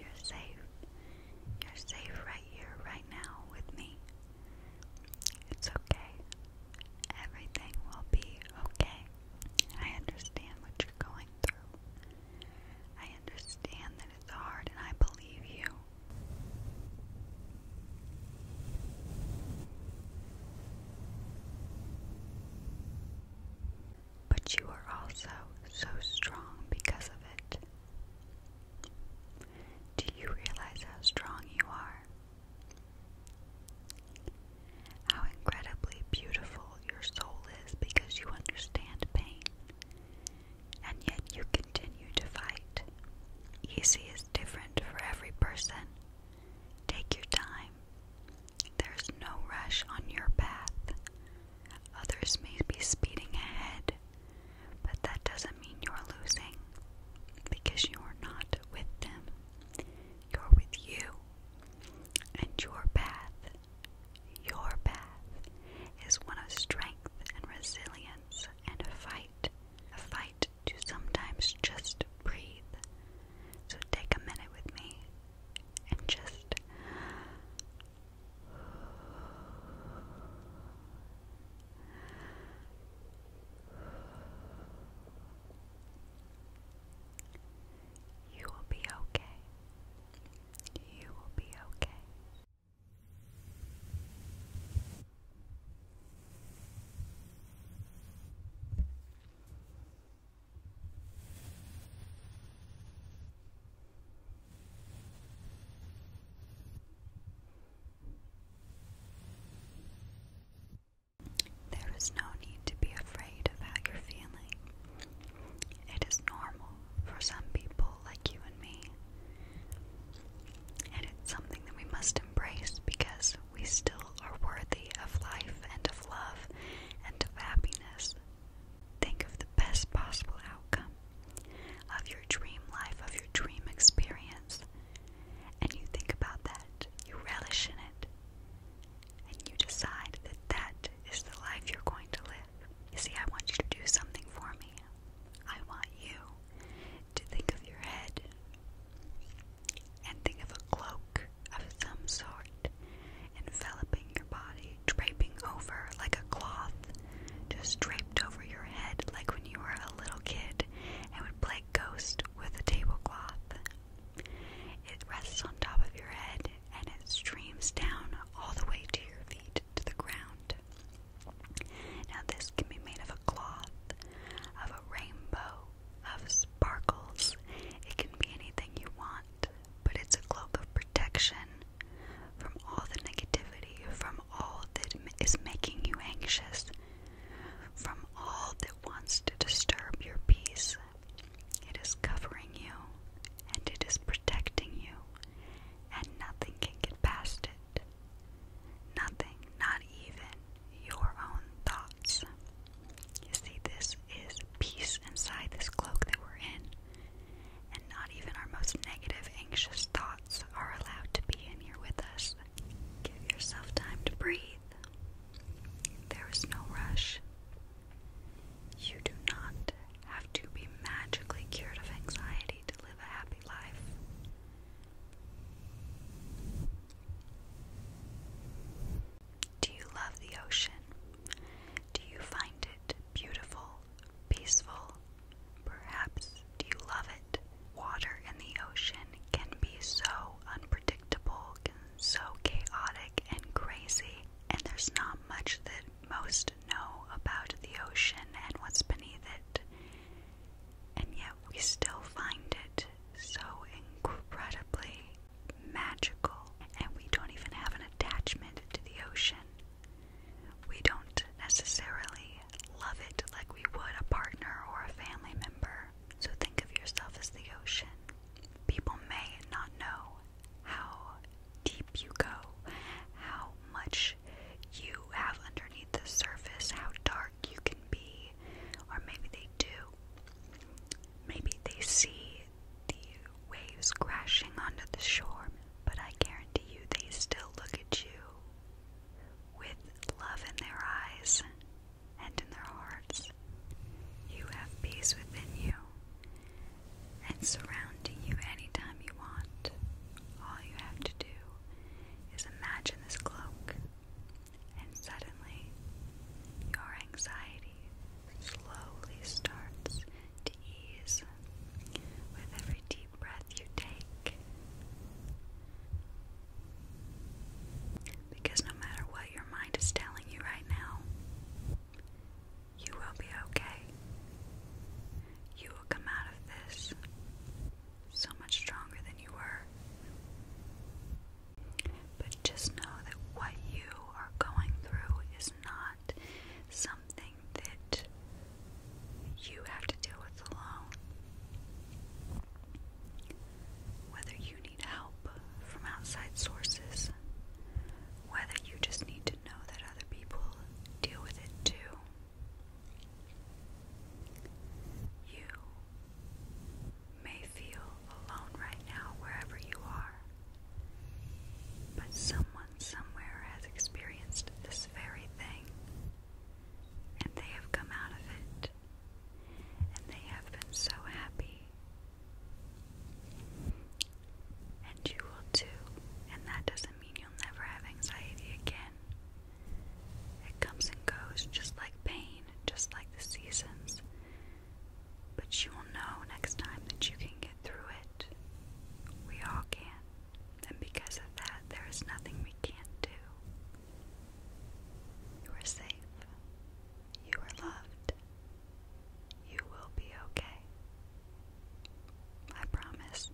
You're safe. You're safe right here, right now, with me. It's okay. Everything will be okay. I understand what you're going through. I understand that it's hard, and I believe you but you are also so strong because of it. Do you realize how strong you are? How incredibly beautiful your soul is because you understand pain, and yet you continue to fight. Easy is different for every person. Take your time. There's no rush on your path. Others may be speeding ahead, but that doesn't mean you're losing because you are not with them. You're with you. And your path, your path, is one of strength and resilience and a fight. A fight to sometimes just breathe. So take a minute with me and just you will be okay. You will be okay. There is no need to be afraid of how you're feeling. It is normal for some people like you and me. And it's something that we must embrace because we still are worthy of life and of love and of happiness. Think of the best possible outcome of your dream life, of your dream experience, and you think about that, you relish in it, and you decide that that is the life you're going to live. You see, I want you to do something for me. I want you to think of your head and think of a cloak of some sort enveloping your body, draping over like a cloth, just draped over your head like when you were a little kid and would play ghost with a tablecloth. It rests on top of your head and it streams down all the way to your feet to the ground. Now, this can be made of a cloth, of a rainbow, of sparkles. It can be anything you want, but it's a globe of protection from all the negativity, from all that is making you anxious, from all that wants to disturb your peace. It is covering you and it is protecting you, and nothing can get past it. Nothing, not even your own thoughts. You see, this is peace inside this cloak that we're in, and not even our most negative, anxious thoughts are allowed to be in here with us. Give yourself time to breathe. There is no rush. You do not have to be magically cured of anxiety to live a happy life. Do you love the ocean? Do you find it beautiful, peaceful? Perhaps do you love it? Water in the ocean can be so unpredictable, so chaotic and crazy, and there's not much that most know about the ocean and what's beneath it and yet we still find it so incredibly magical, and we don't even have an attachment to the ocean. We don't necessarily love it like we would a partner or a family member. So think of yourself as the ocean. People may not know how deep you go, how much you have underneath the surface, how dark you can be, or maybe they do. Maybe they see the waves crashing onto the shore, but I guarantee you they still look at you with love in their eyes and in their hearts. You have peace within you and surrounding you anytime you want. All you have to do is imagine this cloak and suddenly your anxiety slowly starts to ease with every deep breath you take. Because no matter what your mind is telling you right now, you will be okay. You will come out of this so much stronger than you were. But just know that what you are going through is not something that you have to deal with alone. Whether you need help from outside sources, whether you just need to know that other people deal with it too. You may feel alone right now, wherever you are, but someone somewhere has experienced this very thing, and they have come out of it, and they have been so happy. And you will too, and that doesn't mean you'll never have anxiety again. It comes and goes just like pain, just like the seasons. But you will know next time that you can get through it. We all can. And because of that, there is nothing we can't do. You are safe. You are loved. You will be okay. I promise